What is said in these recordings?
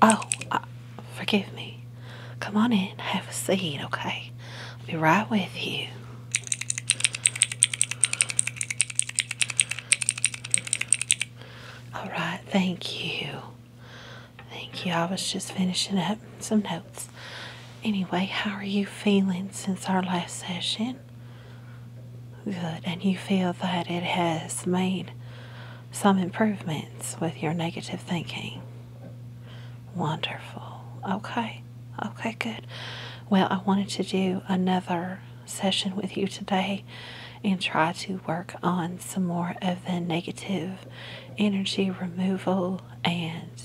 Oh, uh, forgive me. Come on in, have a seat, okay? be right with you. All right, thank you. Thank you. I was just finishing up some notes. Anyway, how are you feeling since our last session? Good. And you feel that it has made some improvements with your negative thinking. Wonderful. Okay. Okay, good. Well, I wanted to do another session with you today and try to work on some more of the negative energy removal and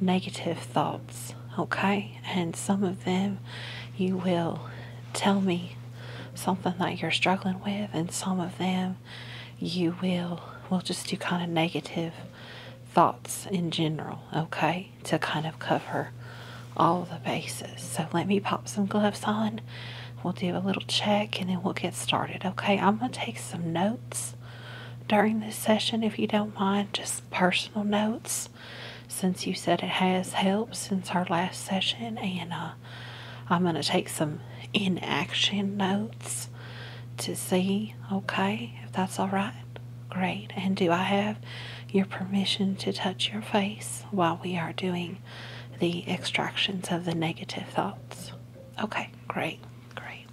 negative thoughts. Okay? and some of them you will tell me something that you're struggling with, and some of them you will will just do kind of negative thoughts in general, okay, to kind of cover all the bases. So let me pop some gloves on. We'll do a little check and then we'll get started, okay? I'm going to take some notes during this session if you don't mind, just personal notes since you said it has helped since our last session. And uh, I'm going to take some in-action notes to see, okay, if that's all right. Great. And do I have your permission to touch your face while we are doing the extractions of the negative thoughts? Okay, great, great.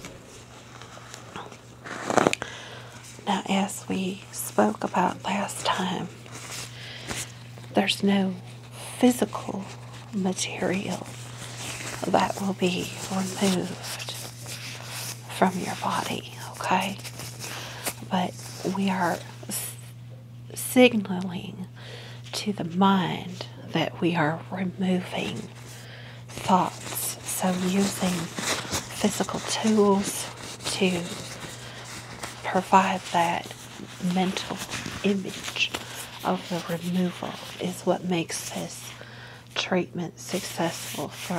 Now, as we spoke about last time, there's no physical material that will be removed from your body, okay? But we are signaling to the mind that we are removing thoughts. So using physical tools to provide that mental image of the removal is what makes this treatment successful for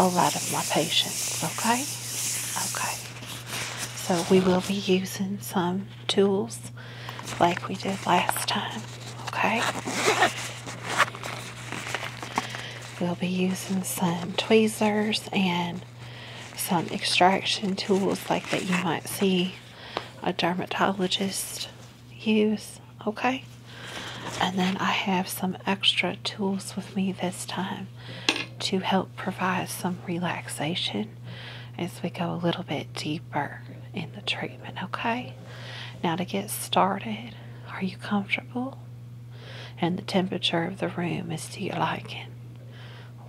a lot of my patients. Okay? Okay. So we will be using some tools like we did last time. Okay? We'll be using some tweezers and some extraction tools like that you might see a dermatologist use, okay? And then I have some extra tools with me this time to help provide some relaxation as we go a little bit deeper in the treatment, okay? Now, to get started, are you comfortable? And the temperature of the room is to your liking.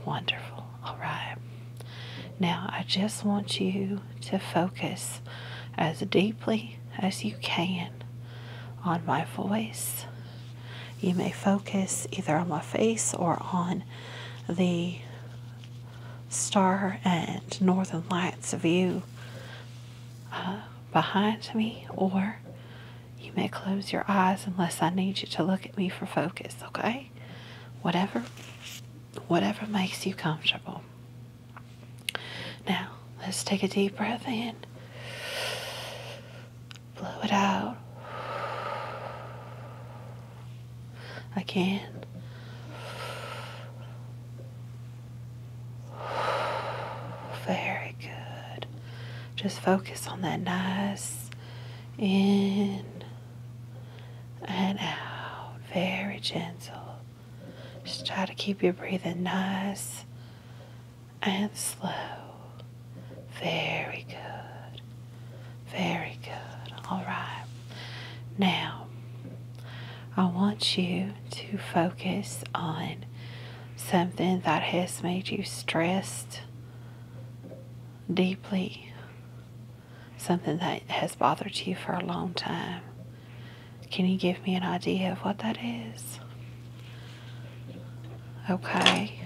Wonderful. All right. Now, I just want you to focus as deeply as you can on my voice. You may focus either on my face or on the star and northern lights view uh, behind me, or you may close your eyes unless I need you to look at me for focus, okay? Whatever whatever makes you comfortable. Now, let's take a deep breath in. Blow it out. Again. Very good. Just focus on that nice in and out. Very gentle. Just try to keep your breathing nice and slow. Very good. Very good. All right. Now, I want you to focus on something that has made you stressed deeply, something that has bothered you for a long time. Can you give me an idea of what that is? Okay,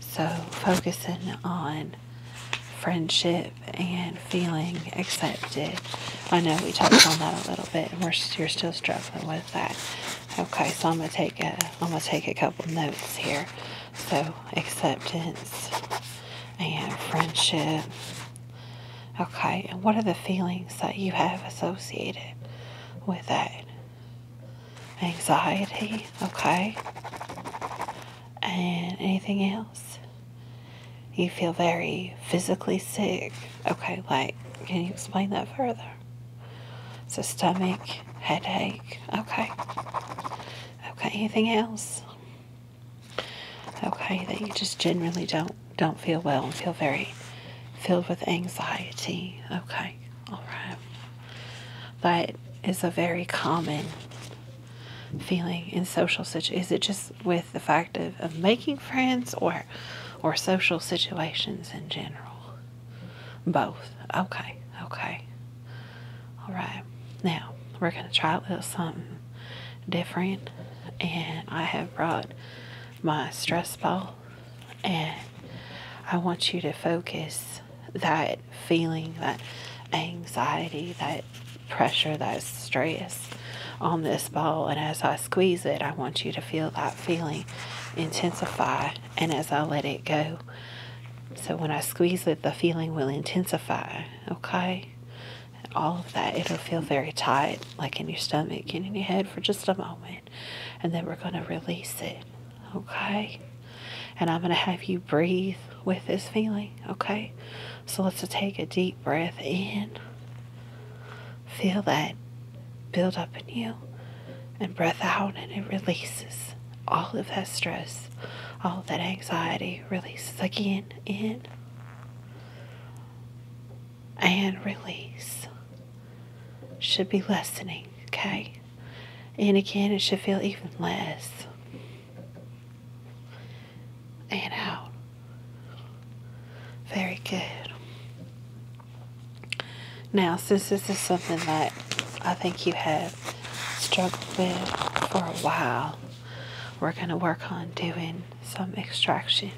so focusing on friendship and feeling accepted I know we touched on that a little bit, and we're you're still struggling with that. Okay, so I'm gonna take a I'm gonna take a couple notes here. So acceptance and friendship. Okay, and what are the feelings that you have associated with that? Anxiety, okay. And anything else? You feel very physically sick. Okay, like, can you explain that further? So, stomach, headache. Okay. Okay, anything else? Okay, that you just generally don't don't feel well and feel very filled with anxiety. Okay, all right. That is a very common feeling in social situations. Is it just with the fact of, of making friends or or social situations in general? Both. Okay, okay. All right. Now we're gonna try a little something different, and I have brought my stress ball, and I want you to focus that feeling, that anxiety, that pressure that stress on this ball and as I squeeze it I want you to feel that feeling intensify and as I let it go so when I squeeze it the feeling will intensify okay all of that it'll feel very tight like in your stomach and in your head for just a moment and then we're going to release it okay and I'm going to have you breathe with this feeling okay so let's take a deep breath in. Feel that build up in you and breath out, and it releases all of that stress, all that anxiety releases again in and release. Should be lessening, okay? And again, it should feel even less and out. Very good. Now, since this is something that I think you have struggled with for a while, we're going to work on doing some extraction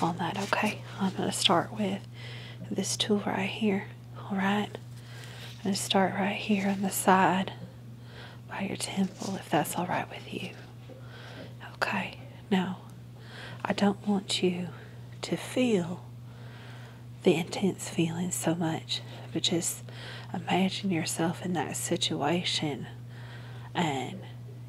on that, okay? I'm going to start with this tool right here, all right? I'm going to start right here on the side by your temple if that's all right with you. Okay, now I don't want you to feel the intense feelings so much, but just imagine yourself in that situation and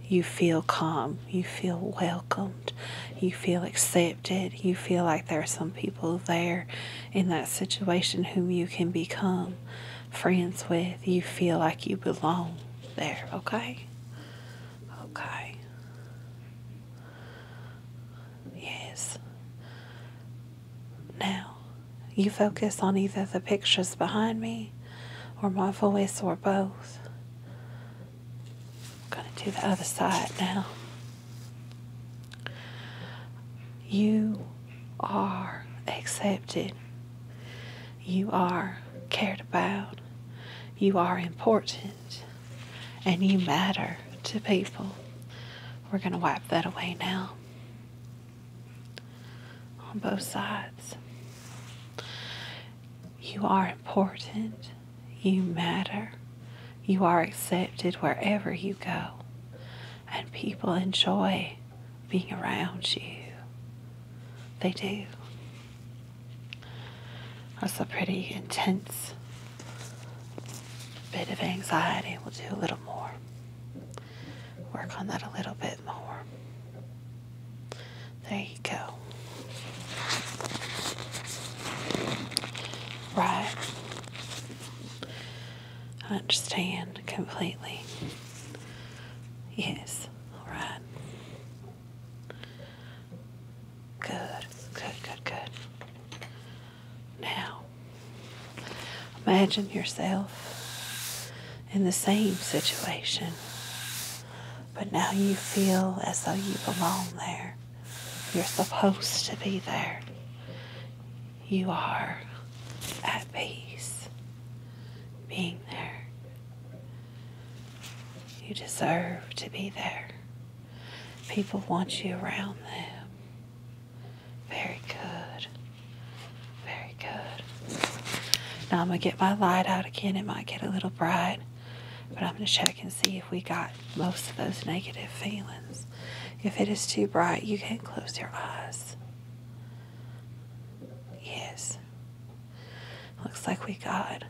you feel calm, you feel welcomed, you feel accepted, you feel like there are some people there in that situation whom you can become friends with, you feel like you belong there, okay? Okay. Yes. Now, you focus on either the pictures behind me or my voice or both. I'm going to do the other side now. You are accepted. You are cared about. You are important. And you matter to people. We're going to wipe that away now. On both sides. You are important. You matter. You are accepted wherever you go. And people enjoy being around you. They do. That's a pretty intense bit of anxiety. We'll do a little more. Work on that a little bit more. There you go. Right. I understand completely. Yes. All right. Good. Good, good, good. Now, imagine yourself in the same situation, but now you feel as though you belong there. You're supposed to be there you are at peace being there. You deserve to be there. People want you around them. Very good. Very good. Now I'm going to get my light out again. It might get a little bright. But I'm going to check and see if we got most of those negative feelings. If it is too bright, you can close your eyes. Yes. Looks like we got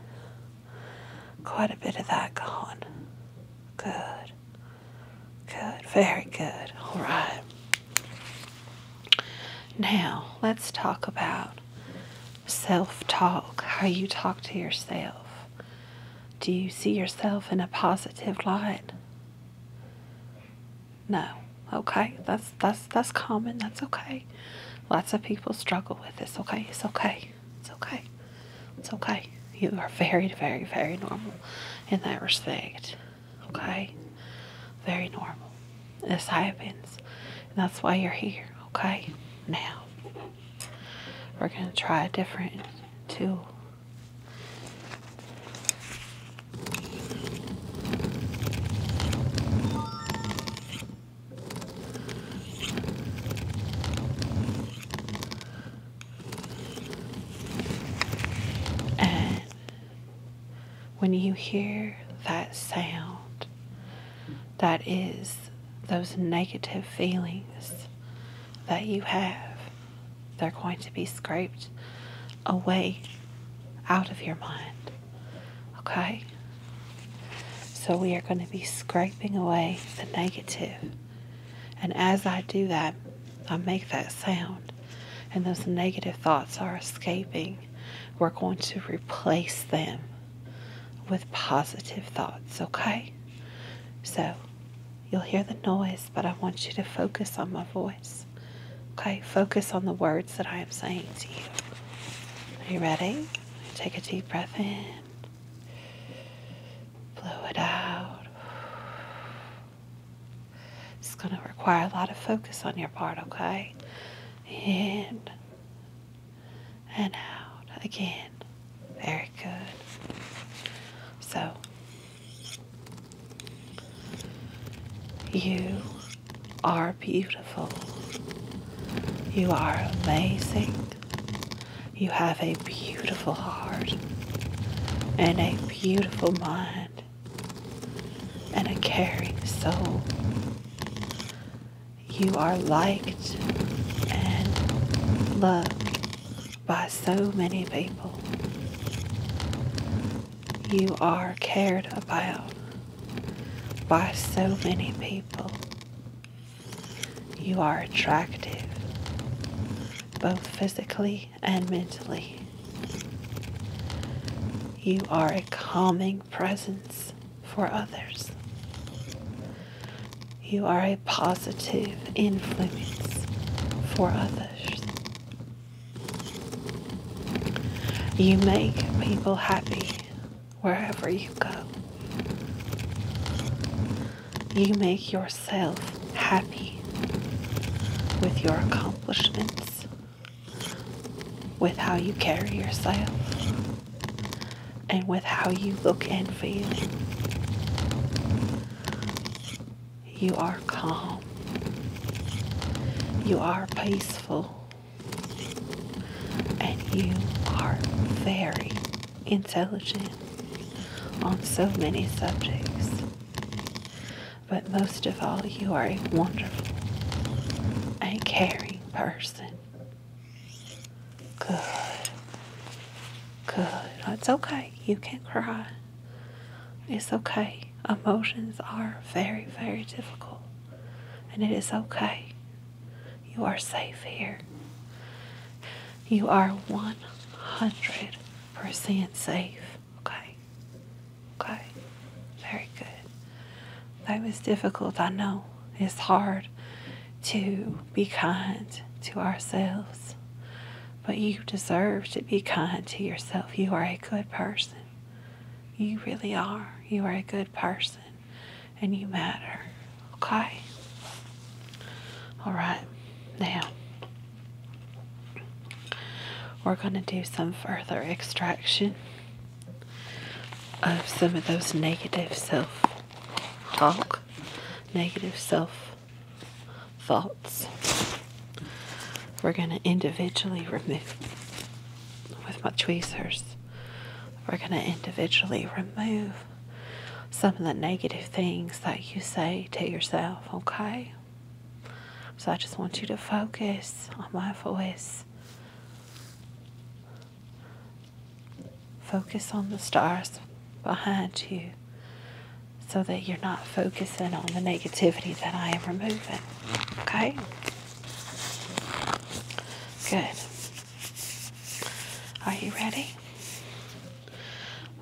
quite a bit of that gone. Good. Good. Very good. All right. Now, let's talk about self talk, how you talk to yourself. Do you see yourself in a positive light? No. Okay. That's that's that's common. That's okay. Lots of people struggle with this. Okay. It's okay. It's okay. It's okay. You are very, very, very normal in that respect. Okay? Very normal. This happens. that's why you're here. Okay? Now, we're going to try a different tool and when you hear that sound, that is those negative feelings that you have. They're going to be scraped away out of your mind. Okay? So we are going to be scraping away the And as I do that, I make that sound, and those negative thoughts are escaping. We're going to replace them with positive thoughts, okay? So you'll hear the noise, but I want you to focus on my voice. Okay, focus on the words that I am saying to you. Are you ready? Take a deep breath in, blow it out. It's going to require a lot of focus on your part, okay? In and out again. Very good. So, you are beautiful. You are amazing. You have a beautiful heart and a beautiful mind and a caring soul. You are liked and loved by so many people you are cared about by so many people. You are attractive, both physically and mentally. You are a calming presence for others. You are a positive influence for others. You make people happy wherever you go. You make yourself happy with your accomplishments, with how you carry yourself, and with how you look and feel. You are calm. You are peaceful. And you are very intelligent on so many subjects. But most of all, you are a wonderful and caring person. Good. Good. It's okay. You can cry. It's okay. Emotions are very, very difficult. And it is okay. You are safe here. You are 100% safe. Okay? Okay. Very good. That was difficult, I know. It's hard to be kind to ourselves. But you deserve to be kind to yourself. You are a good person. You really are. You are a good person and you matter. Okay? All right. Now, we're going to do some further extraction of some of those negative self talk, negative self faults. We're going to individually remove with my tweezers. We're going to individually remove some of the negative things that you say to yourself, okay? So I just want you to focus on my voice. Focus on the stars behind you so that you're not focusing on the negativity that I am removing. Okay? Good. Are you ready?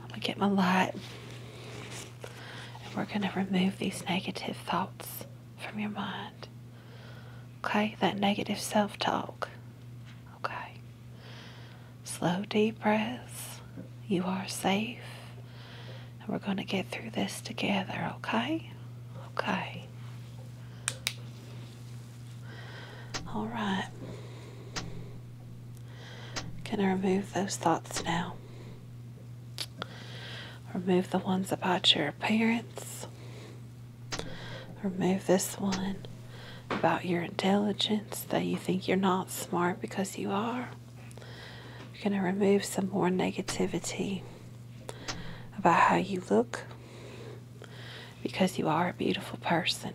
I'm going to get my light and we're going to remove these negative thoughts from your mind. Okay? That negative self talk. Okay? slow, deep breaths. You are safe. And we're going to get through this together, okay? Okay. All right. Can I remove those thoughts now? Remove the ones about your appearance. Remove this one about your intelligence that you think you're not smart because you are. You're going to remove some more negativity about how you look because you are a beautiful person.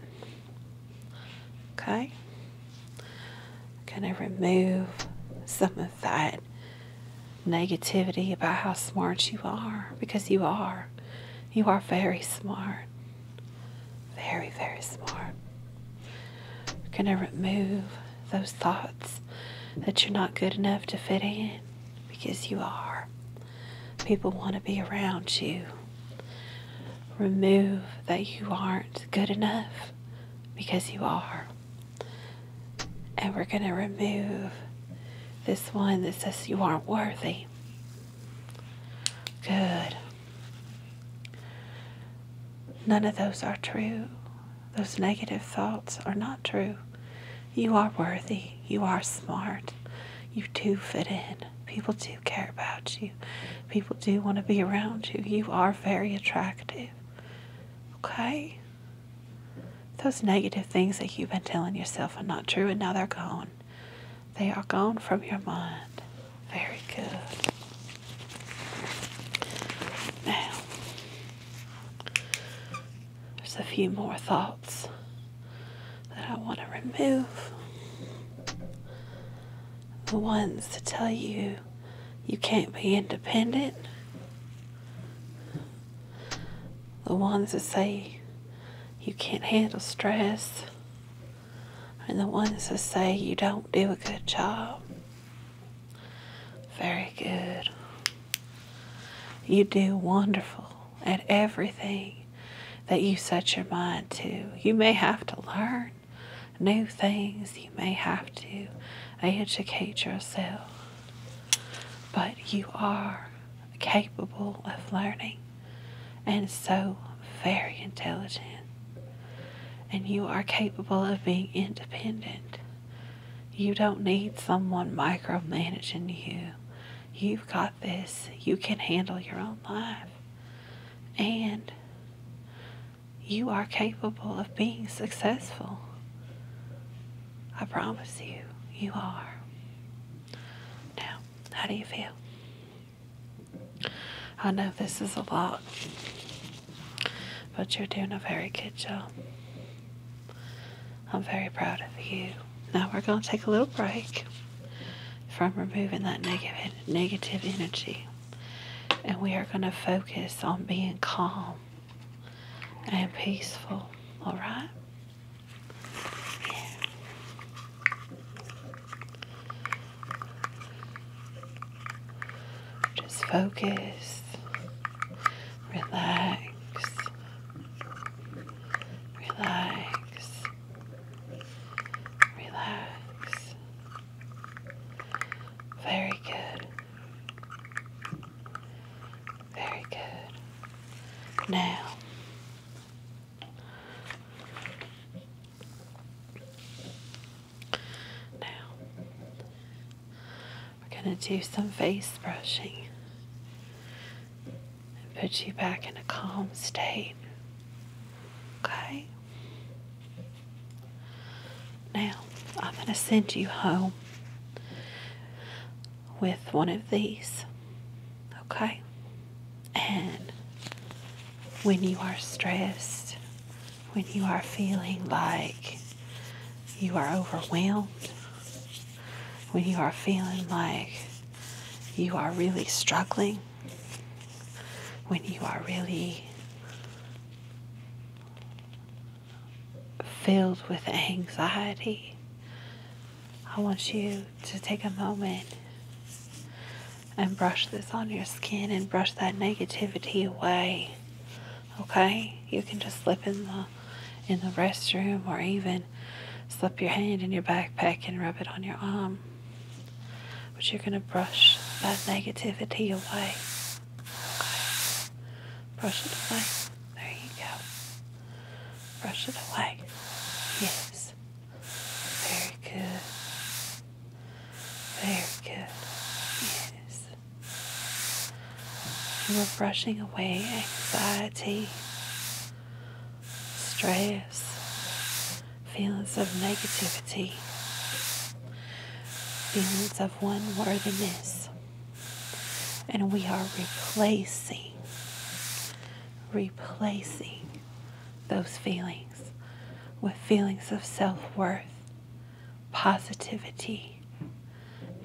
Okay? I'm going to remove some of that negativity about how smart you are because you are. You are very smart. Very, very smart. We're going to remove those thoughts that you're not good enough to fit in because you are. People want to be around you. Remove that you aren't good enough because you are. And we're going to remove this one that says you aren't worthy. Good. None of those are true. Those negative thoughts are not true. You are worthy. You are smart. You do fit in. People do care about you. People do want to be around you. You are very attractive. Okay? Those negative things that you've been telling yourself are not true and now they're gone. They are gone from your mind. Very good. Now, there's a few more thoughts that I want to remove. The ones that tell you you can't be independent. The ones that say you can't handle stress. And the ones that say you don't do a good job. Very good. You do wonderful at everything that you set your mind to. You may have to learn new things, you may have to educate yourself, but you are capable of learning and so very intelligent. And you are capable of being independent. You don't need someone micromanaging you. You've got this. You can handle your own life. And you are capable of being successful. I promise you, you are. Now, how do you feel? I oh, know this is a lot, but you're doing a very good job. I'm very proud of you. Now we're going to take a little break from removing that negative negative energy, and we are going to focus on being calm and peaceful. All right. Just focus, relax, relax, relax. Very good. Very good. Now, now, we're going to do some face brushing and put you back in a calm state. Okay? Now, I'm going to send you home with one of these. Okay? And when you are stressed, when you are feeling like you are overwhelmed, when you are feeling like you are really struggling, when you are really filled with anxiety, I want you to take a moment and brush this on your skin and brush that negativity away. Okay? You can just slip in the in the restroom or even slip your hand in your backpack and rub it on your arm. But you're gonna brush that negativity away. Brush it away. There you go. Brush it away. Yes. Very good. Very good. Yes. You are brushing away anxiety, stress, feelings of negativity, feelings of unworthiness. And we are replacing, replacing those feelings with feelings of self worth, positivity,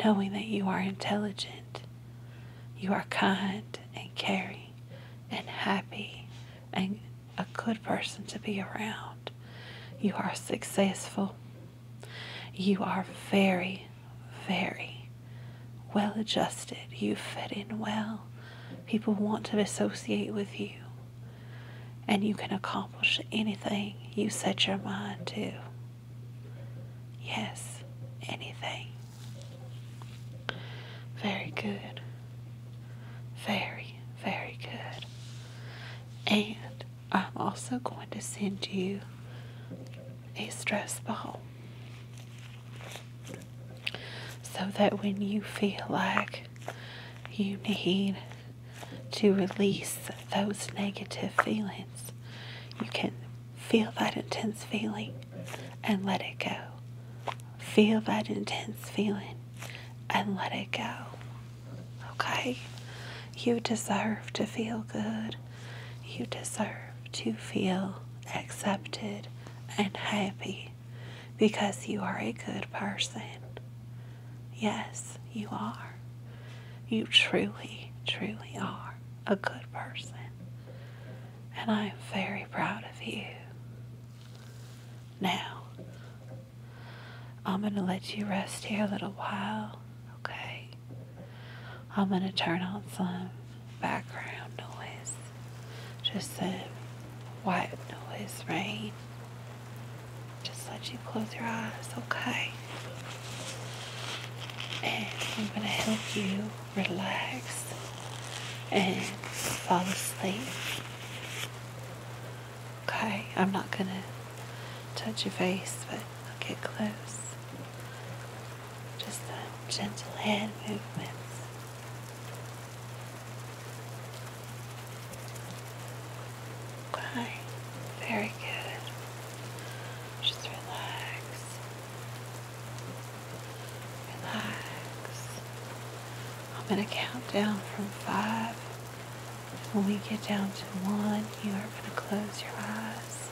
knowing that you are intelligent, you are kind and caring and happy and a good person to be around. You are successful. You are very, very well adjusted. You fit in well people want to associate with you. And you can accomplish anything you set your mind to. Yes, anything. Very good. Very, very good. And I'm also going to send you a stress ball so that when you feel like you need to release those negative feelings, you can feel that intense feeling and let it go. Feel that intense feeling and let it go. Okay? You deserve to feel good. You deserve to feel accepted and happy because you are a good person. Yes, you are. You truly, truly are a good person. And I am very proud of you. Now, I'm going to let you rest here a little while, okay? I'm going to turn on some background noise, just the white noise, rain. Just let you close your eyes, okay? And I'm going to help you relax and fall asleep. Okay, I'm not going to touch your face, but I'll get close just the gentle hand movements. Okay, very good. Just relax, relax. I'm going to count down from five. When we get down to one, you are going to close your eyes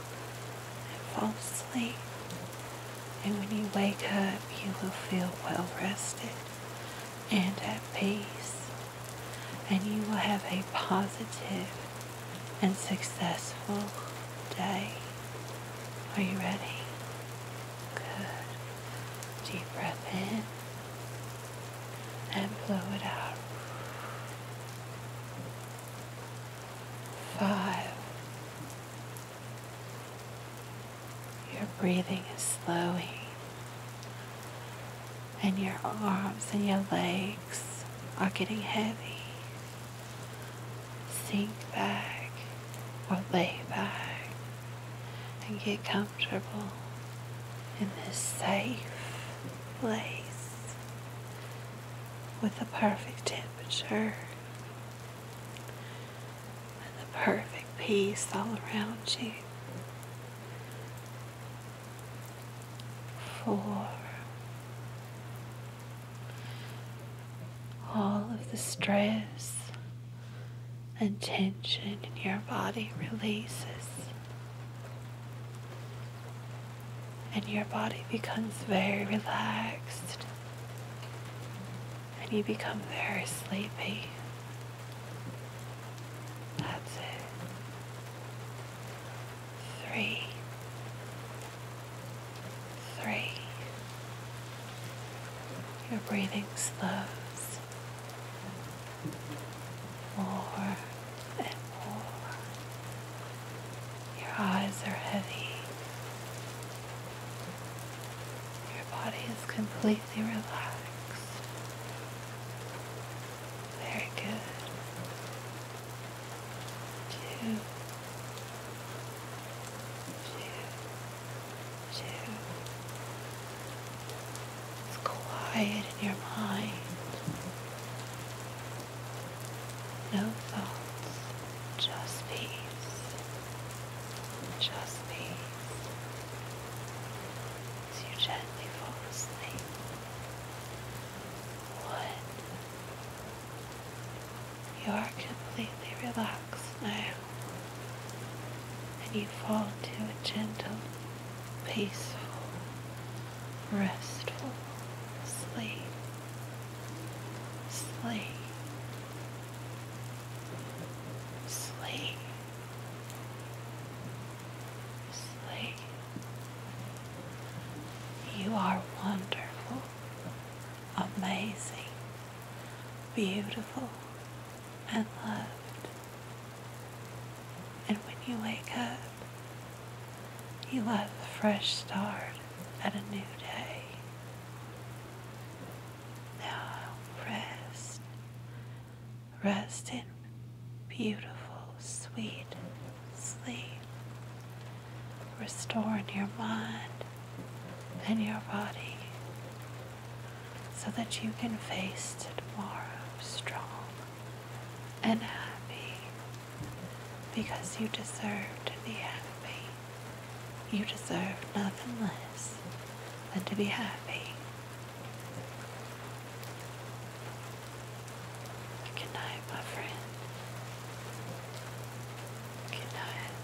and fall asleep. And when you wake up, you will feel well rested and at peace. And you will have a positive and successful day. Are you ready? Good. Deep breath in and blow it out. Five, your breathing is slowing, and your arms and your legs are getting heavy. Sink back or lay back and get comfortable in this safe place with the perfect temperature and the perfect peace all around you. For all of the stress and tension in your body releases, and your body becomes very relaxed and you become very sleepy. That's it. Three. Three. Your breathing slows more and more your eyes are heavy. Your body is completely relaxed. Very good. Two. It's quiet in your mind. No thoughts, just peace. Just peace. As you gently fall asleep. You are completely relaxed now. And you fall into a gentle, peaceful, restful sleep. Sleep. Sleep. Sleep. You are wonderful, amazing, beautiful, and loved. And when you wake up, you have a fresh start and a new day. Now rest. Rest in beautiful, sweet sleep. Restoring your mind and your body so that you can face tomorrow strong and happy because you deserve to be happy. You deserve nothing less than to be happy. Good night, my friend. Good night.